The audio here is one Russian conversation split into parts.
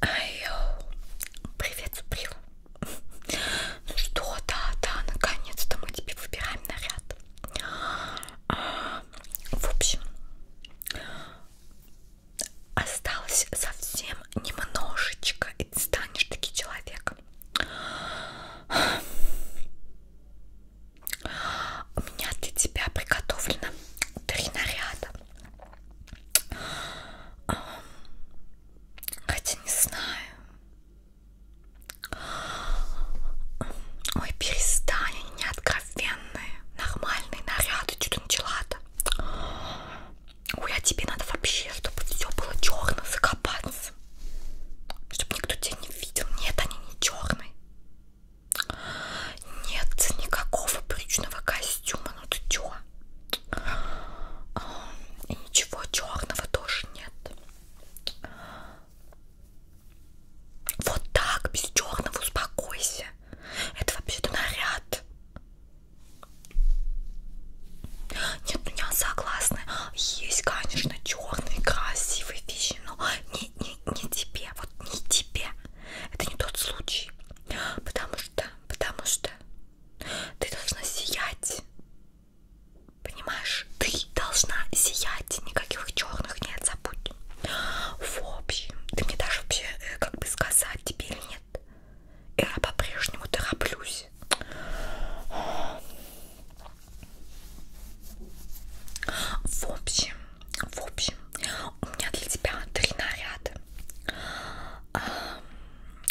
Айо. Привет, Суприла. Ну что, да, да, наконец-то мы тебе выбираем наряд. А, в общем, осталось совсем немножечко, и ты станешь таким человеком. У меня для тебя приготовлено три наряда. Эм, хотя не знаю. Ой, перестань, они не откровенные. Нормальные наряды, что ты начала-то? Ой, а тебе надо вообще, чтобы все было черно, закопаться. Чтобы никто тебя не видел. Нет, они не черные. Нет никакого брючного костюма, ну ты чё? И ничего черного тоже нет. Вот так, без черного успокойся. Это вообще-то наряд. Нет, ну я согласна. Есть, конечно, черные красивые вещи, но не, не, не тебе, вот не тебе. Это не тот случай. Потому что, потому что ты должна сиять. Понимаешь, ты должна сиять. Никаких черных нет, забудь. В общем, ты мне даже вообще, э, как бы сказать, тебе или нет. Я по-прежнему тороплюсь. В общем, в общем, у меня для тебя три наряда а,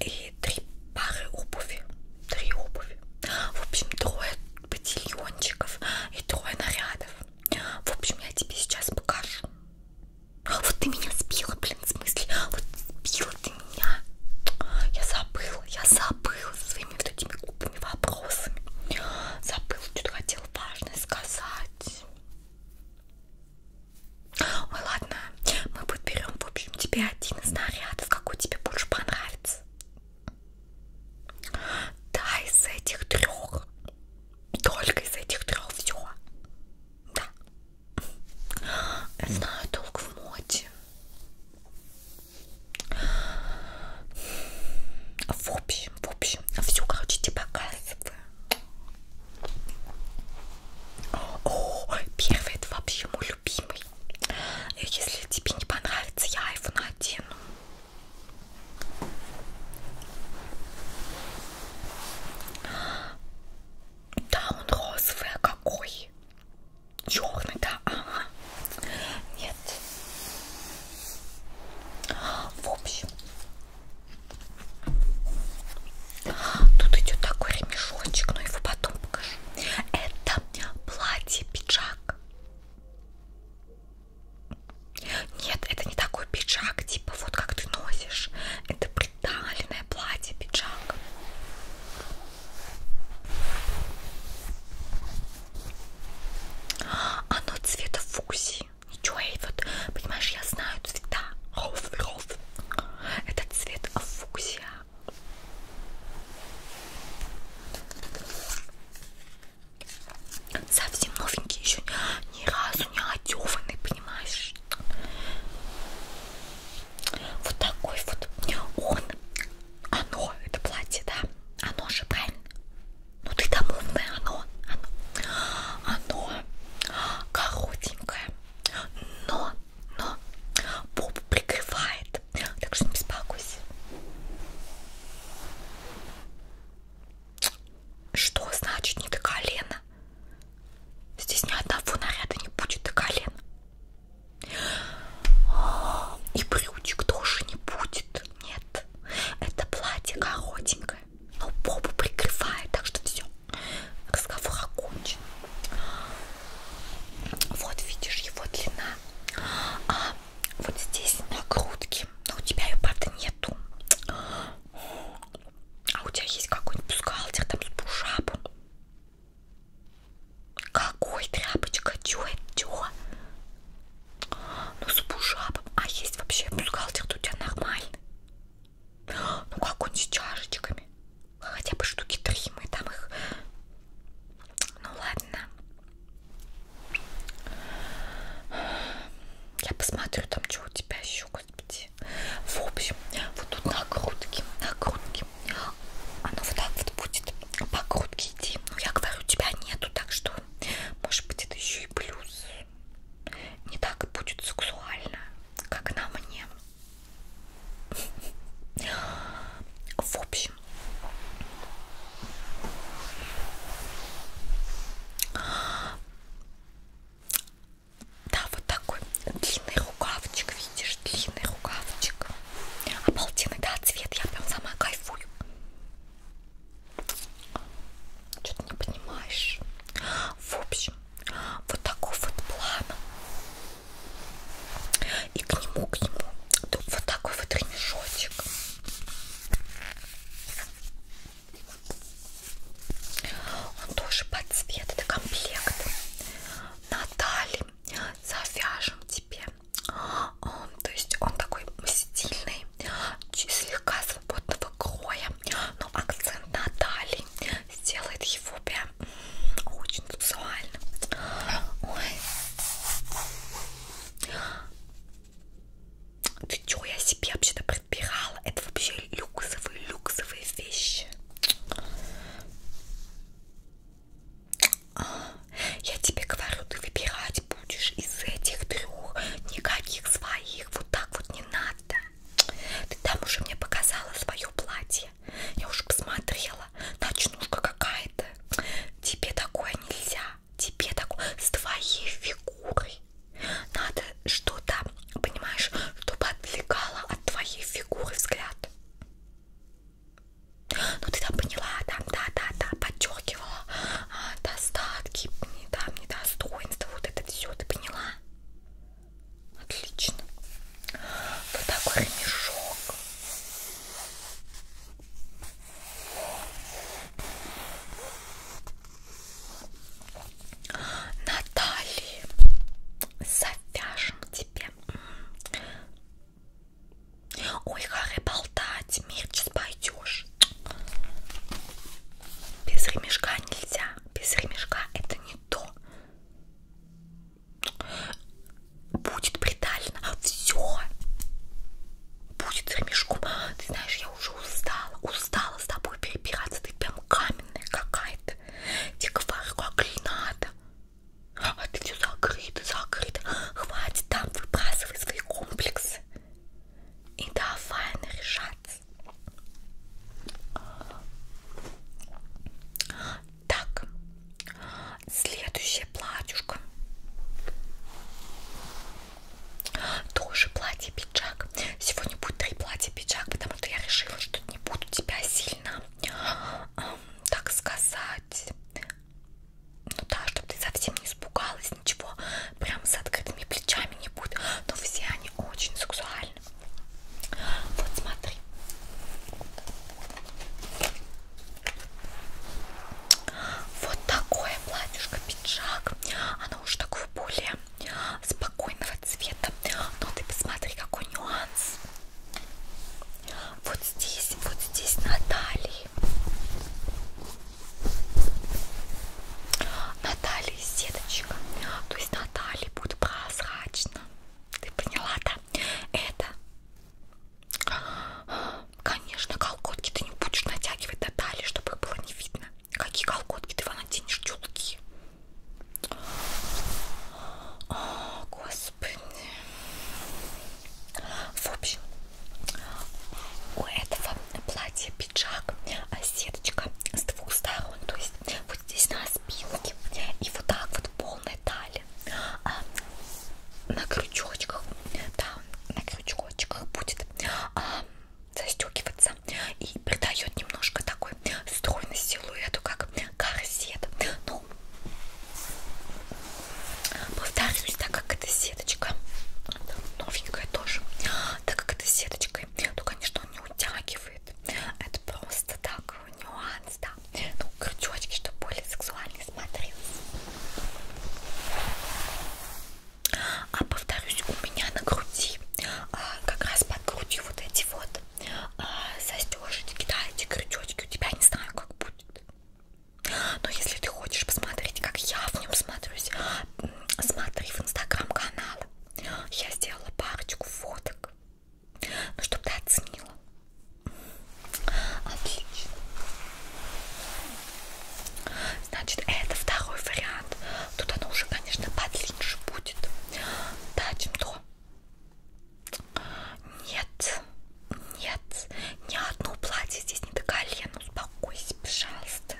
и три пары обуви. Три обуви. В общем, трое ботильончиков и трое нарядов. В общем, я тебе сейчас покажу. Вот ты меня сбила, блин, в смысле. Вот сбила ты меня. Я забыла, я забыла со своими вот этими глупыми вопросами. Забыла, что-то хотела важное сказать. Ой, ладно, мы подберем, в общем, тебе один из нарядов, какой тебе больше понравится. Да, из этих трех. Только из этих трех все. Да. Я знаю долг в моде. В общем, в общем, все, короче, тебе показываю. О, первый это вообще мой любимый. Э, если тебе не понравится, я его надену. Да, он розовый, а какой? Черный, да, ага. Нет. В общем, Тут идет такой ремешочек, но его потом покажу. Это платье-пиджак. Нет, это не такой пиджак, типа вот как ты носишь. Это приталенное платье-пиджак. Оно цвета фуксии. Ничего, и вот, понимаешь, я знаю цвета. Это цвет фуксия. Совсем новенький, еще ни разу не одеванный, понимаешь? Вот такой вот он, оно, это платье, да? Оно же, правильно? Ну ты домовное, оно, оно, оно коротенькое, но, но попу прикрывает, так что не беспокойся. Что значит не до колена? Здесь ни одного наряда не будет до колена. И брючек тоже не будет. Нет нет. Это платье коротенькое, но а попу прикрывает, так что все. Разговор окончен. Вот видишь его длина. А вот здесь на грудке, но у тебя ее правда нету. А у тебя есть какой-нибудь бюстгальтер там с пушапом? Какой тряпочка? Чё это? Чё? Ну с бушапом. А есть вообще бюстгальтер-то у тебя нормальный. Ну как он с чашечками? Хотя бы штуки три, мы там их... Ну ладно. Я посмотрю там, что у тебя еще, господи. В общем, вот тут на грудке, на грудке. Оно вот так вот будет по грудке идти. Ну я говорю, тебя нету, так что девушка. Может быть, это еще и плюс. Не так будет сексуально, как на мне. В общем, да, вот такой длинный рукавчик, видишь, длинный рукавчик. Обалденный, да, цвет, я прям сама кайфую. Что ты не понимаешь? В общем, вот такой вот план. И к нему, к нему вот такой вот ремешочек. Он тоже под цвет, это комплект. Наталья, завяжем тебе то есть он такой стильный, слегка свободного кроя, но акцент на талии сделает его прям очень сексуальным. Ой. Ты чё, я себе вообще-то подбирала? Это вообще люксовые, люксовые вещи. Я тебе говорю, ты выбирать будешь из этих трех, никаких своих, вот так вот не надо. Ты там уже мне показала свое платье, я уже посмотрела, ночнушка какая-то. Тебе такое нельзя, тебе такое с твоей фигурой. Надо что-то, понимаешь, чтобы отвлекало от твоей фигуры взгляд. Ну ты там поняла, там, да, да, да, подчеркивала а, достатки, не там, недостоинства, вот это все, ты поняла? Отлично. Вот такой ремешок. Наталья, завяжем тебе Ой, Харри, болтать, Мирчис, пойдешь. Без ремешка нельзя, без ремешка это не то. Будет притально, все. Будет с ремешком. Ты знаешь, я уже устала, устала с тобой перебираться. Ты прям каменная какая-то. Тебе говорю, как надо. А ты все закрыто, закрыто. Хватит там выбрасывай свои комплексы. И давай наряжаться. Так, следующее платьюшко. Тоже платье-пиджак. Сегодня будет три платья-пиджак, потому что я решила, что не буду тебя сильно, так сказать, ну да, чтобы ты совсем не испугалась, ничего, прям с открытыми плечами не будет, но все они очень сексуальны. Вот смотри. Вот такое платьишко, пиджак. Оно уже такого более спокойного цвета. Но ты посмотри, какой нюанс. Вот здесь, вот здесь на талии. На талии сеточка. То есть на талии будет прозрачно. Ты поняла, да? Это, конечно, колготки ты не будешь натягивать на талии, чтобы их было не видно. Какие колготки ты натянешь тюлки? О, господи. В общем, у этого платья пиджак, а сеточка с двух сторон, то есть вот здесь на спинке и вот так вот полная талия. А на крючочках, да, на крючочках будет а, застегиваться и придает немножко такой стройный силуэту, как корсет. Но ну, повторюсь, так как это сеточка, новенькая тоже, так как это сеточкой, то, конечно, он не утягивает. Это просто так, нюанс, да. Ну, крючочки, чтобы более сексуально смотрелось. А повторюсь, у меня на груди, а, как раз под грудью вот эти вот а, застежечки, да, эти крючочки, у тебя не знаю, как будет. Но если ты хочешь посмотреть, как я в нем смотрюсь, смотри в инстаграм-канал. Я сделала парочку фоток. Ну, чтобы ты оценила. Отлично. Значит, это второй вариант. Тут оно уже, конечно, подлиннее будет. Да, чем то. Нет, нет, ни одно платье здесь не до колена. Успокойся, пожалуйста.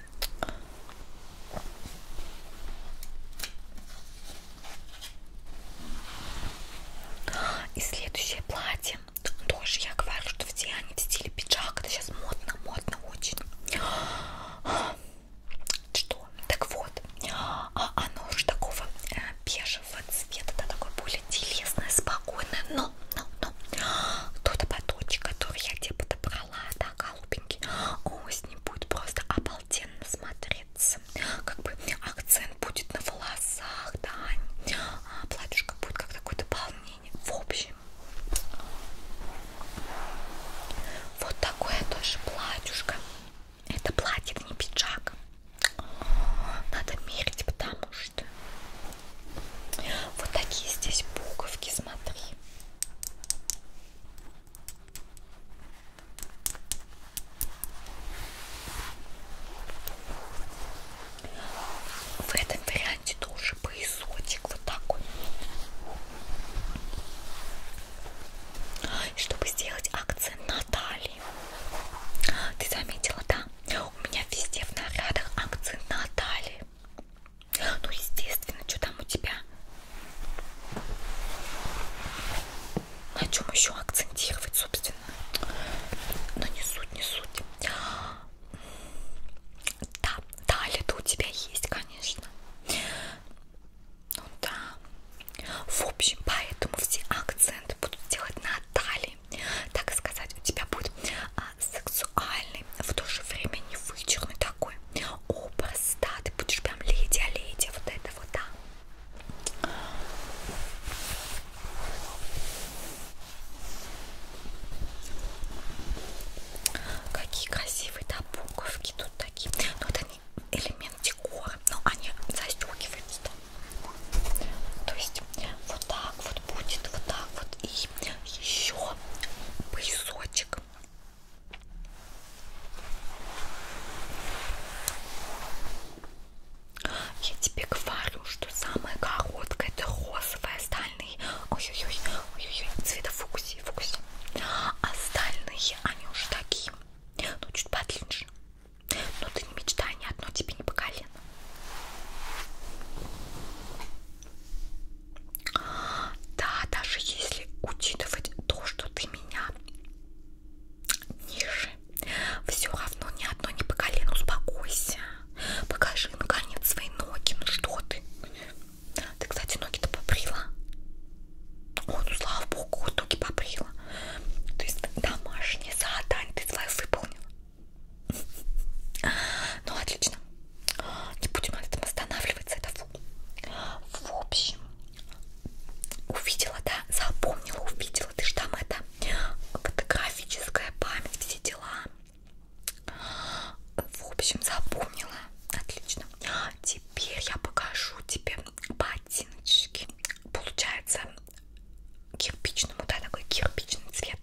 И следующее платье. Тоже я говорю, что все они в стиле пиджак. Это сейчас модно, модно очень. Что? Так вот, а оно уже такого э, бежевого цвета, да, такой более телесное, спокойное, но, но, но, тот ободочек, который я тебе подобрала, да, голубенький, о, с ним будет просто обалденно смотреться, как бы акцент будет на волосах, да, а платьюшка будет как такое дополнение, в общем, вот такое тоже платьюшко это платье, это не пиджак. Надо мерить, потому что вот такие здесь буковки, смотри. В этом варианте тоже поясочек вот такой. И чтобы сделать акцент на талии. Смотри, ты заметила, да? У меня везде в нарядах акцент на талии. Ну, естественно, что там у тебя? На чем еще акцентировать, собственно? Но ну, не суть, не суть. Да, талия-то у тебя есть, конечно. Ну да. В общем, поэтому все акценты будут делать на талии. Так сказать, у тебя будет а, сексуальный, в то же время не вычурный такой образ, да, ты будешь прям леди-леди, а вот это вот, да. Какие красивые, да, буковки тут такие. Но ну, это элемент декора, но они застегиваются. То есть вот так вот будет, вот так вот и еще поясочек. Я тебе говорю, что самое короткое это розовое, остальные, ой-ой-ой, ой-ой, цвета фукси, фукси. Остальные они уже такие, ну чуть подлиннее. Ну ты не мечтай, ни одно тебе не по колено. Да, даже если учитывать то, что ты меня ниже, все равно ни одно не по колену. Успокойся. Покажи наконец свои ноги. Ну что ты? Ты, кстати, ноги-то побрила. Ой, ну слава богу, утоки побрила. То есть домашнее задание ты свое выполнила. Ну, отлично. Не будем на этом останавливаться, это фу. В общем, увидела, да, запомнила, увидела. Ты же там это фотографическая память, все дела. В общем, запомнила. Отлично. Теперь теперь я покажу тебе ботиночки. Получается кирпичным, да, такой кирпичный цвет.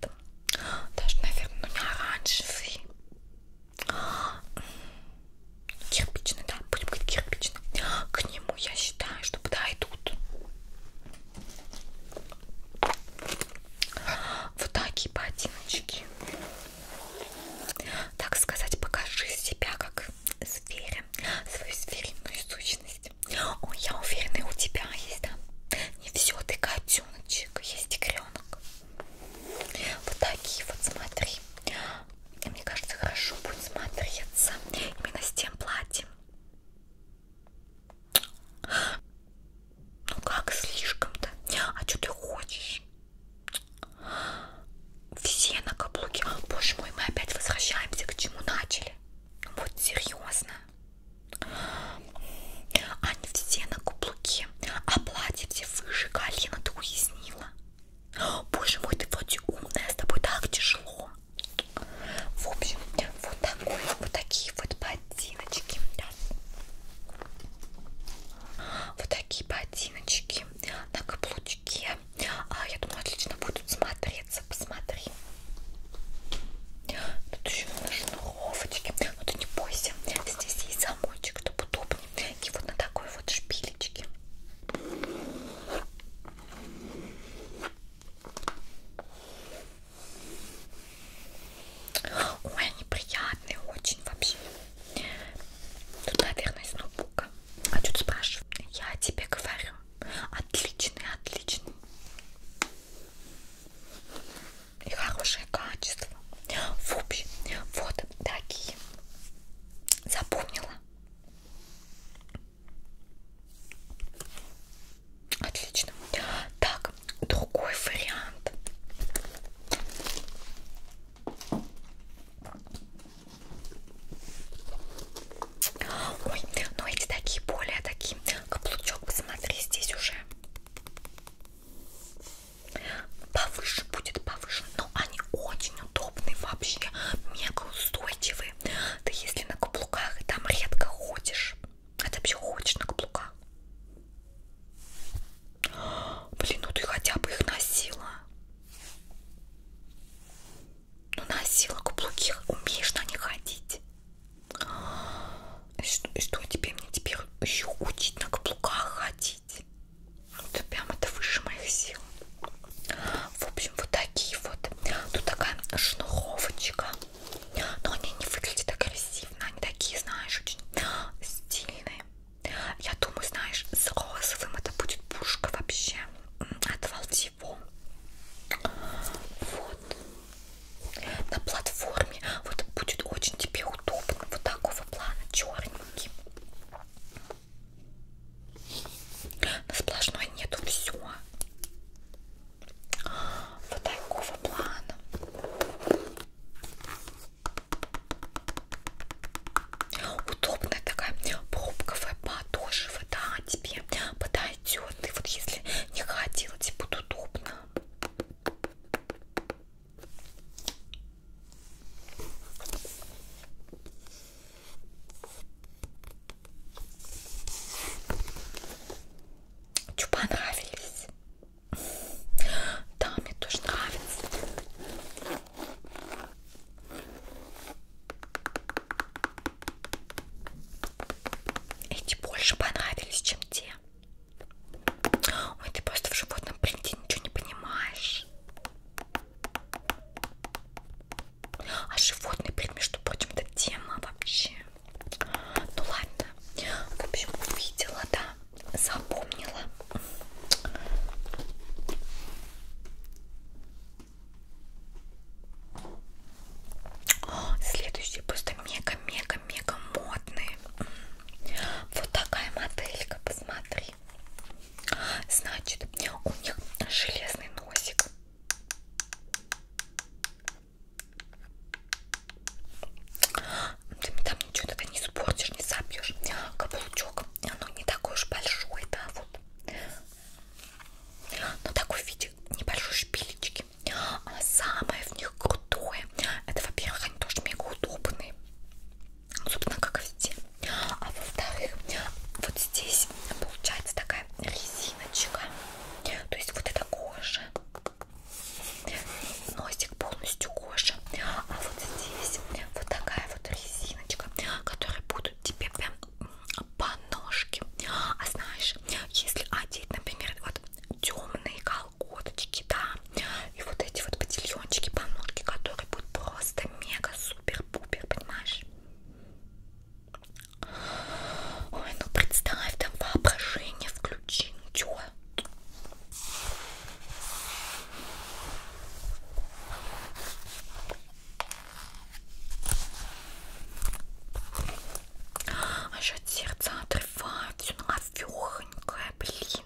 Даже, наверное, ну, не оранжевый. Кирпичный, да, будем говорить кирпичный. К нему, я считаю, что подойдут. Вот такие ботиночки. Так сказать, покажи себя как сфере, свою сферинную сущность. Ой, я уверена, у тебя есть, да? Не все, ты котеночек, есть тигренок. Вот такие вот, смотри. И мне кажется, хорошо будет смотреться именно с тем платьем. Ну как слишком-то? А что ты хочешь? Все на каблуке. Боже мой, мы опять возвращаемся к чему начали. Вот серьезно. Они все на каблуке. А платье все выше колена, ты уяснила. Боже мой, ты вроде умная, с тобой так тяжело. В общем, вот такой, вот такие вот ботиночки. Да. Вот такие ботиночки на каблучке очки. А, я думаю, отлично будут смотреться. Посмотри. Тут еще на шнуровочке. Но ну, ты не бойся. Здесь есть замочек, чтобы удобнее. И вот на такой вот шпилечке. Ой, они приятные очень вообще. Тут, наверное, из ноутбука. А что ты спрашиваешь? Я тебе говорю. Отличный, отличный. И хорошее качество. В общем, вот такие. Запомнила? Отлично. Так, другой вариант. Ой, но ну эти такие более такие. Каблучок, посмотри, здесь уже повыше будет повыше. Но ну, они очень удобные вообще, мега устойчивые. Ты если на каблуках, там редко ходишь. А ты вообще ходишь на каблуках? Блин, ну ты хотя бы их носила. Ну носила каблуки, умеешь на них ходить. Что, что тебе мне теперь еще учить на каблуках ходить? Это прям это выше моих сил. В общем, вот такие вот. Тут такая шнуровочка. Но они не выглядят агрессивно. Они такие, знаешь, очень стильные. Я думаю, знаешь, с розовым это будет пушка вообще. Отвал его. Вот. На платформе вот будет очень тебе удобно. Вот такого плана черненький. На сплошной нету все. Вот такого плана. Удобная такая пробковая, подошва, да, тебе подойдет. И вот если не ходила, тебе будет удобно. Чё, понравились? Да, мне тоже нравится. Эти больше понравились, чем те. Ой, ты просто в животном принте ничего не понимаешь. А животный принт, между прочим, это тема вообще. Ну ладно, в общем, увидела, да запомнила. О, следующие просто мега-мега-мега модные. Вот такая моделька, посмотри. Значит, у них железный носик ты там ничего тогда не испортишь, не собьешь. Каблучок, оно не такой уж большой, да, вот. Но такой в виде небольшой шпилечки. А самое в них крутое, это, во-первых, они тоже мега удобные. Ну, собственно, как и везде. А во-вторых, вот здесь получается такая резиночка. То есть вот эта кожа. Носик кусочек полностью кожи. А вот здесь вот такая вот резиночка, которые будут тебе прям по ножке. А знаешь, если одеть, например, вот темные колготочки, да, и вот эти вот ботильончики по ножке, которые будут просто мега супер-пупер, понимаешь? Ой, ну представь, там воображение включи, ну чё? А еще от сердца отрывать, она вехонькая, блин.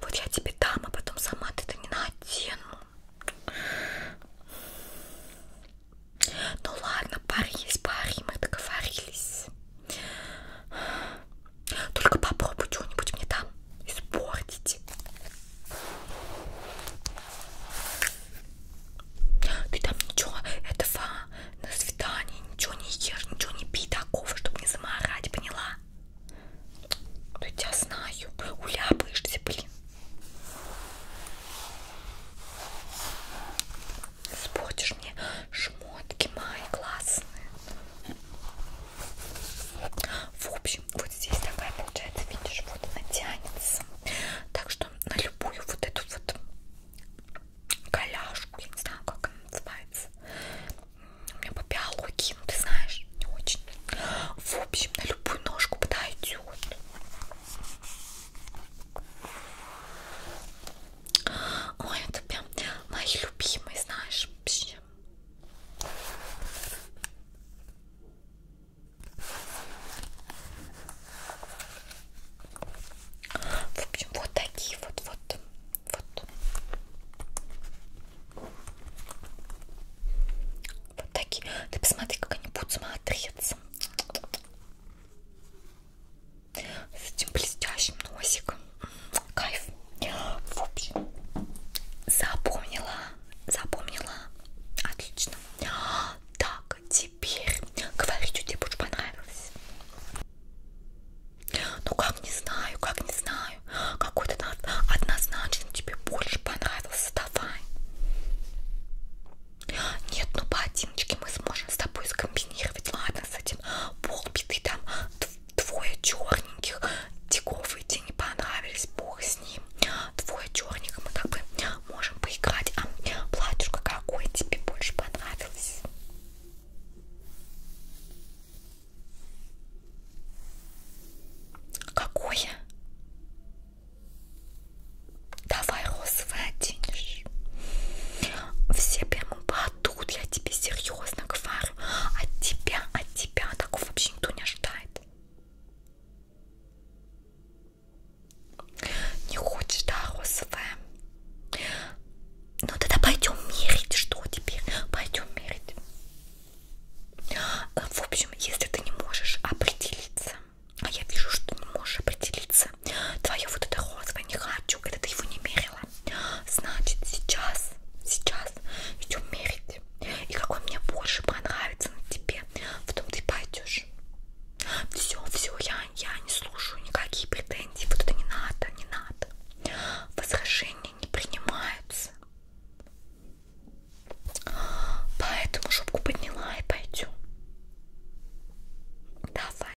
Вот я тебе дам, а потом сама ты это не надену. Ну ладно, пары есть пары, мы договорились. Только попробуй что-нибудь мне там испортить. Ты там ничего этого на свидание ничего не ешь, ничего не пей такого, чтобы не заморать, поняла? Да я тебя знаю, уляпаешься, блин. Спортишь мне шмотки мои классные. В общем, вот здесь такая получается, видишь, вот она тянется. Так что на любую вот эту вот коляшку, я не знаю, как она называется. У меня по биологии, ну ты знаешь, не очень. В общем, на любую ножку подойдет. Ой, это прям мои любимые, знаешь, вообще. В общем, вот такие вот, вот, вот. Вот такие. Ты посмотри, как они будут смотреться с этим блестящим носиком. Кайф. В общем, запомнила, запомнила. Отлично. Так, теперь говори, что тебе больше понравилось. Ну как не знаю, как не знаю. Какой-то однозначно тебе больше понравился. Давай. Нет, ну ботиночки мы сможем с тобой скомбинировать, ладно? ладно с этим полбиты, там двое черненьких тигов идти не понравились, бог с ним. Двое черных мы как бы можем поиграть. А платьюшка какой тебе больше понравилось? Какое? Давай розовое оденешь. Все прямо а тут я тебе серьезно говорю, от тебя, от тебя такого вообще никто не ожидает. Не хочешь, да, розовая? Ну тогда пойдем мерить, что теперь? Пойдем мерить. А, в общем, если ты не можешь определиться, а я вижу, что ты не можешь определиться, нравится. Твое вот это розовое не хочу, когда ты его не мерила. Значит, сейчас, сейчас идем мерить. И какой мне больше понравится на тебе, потом ты пойдешь. Все, все, я, я не слушаю никакие претензии. Вот это не надо, не надо. Возражения не принимаются. Поэтому шубку подняла и пойдем. Давай.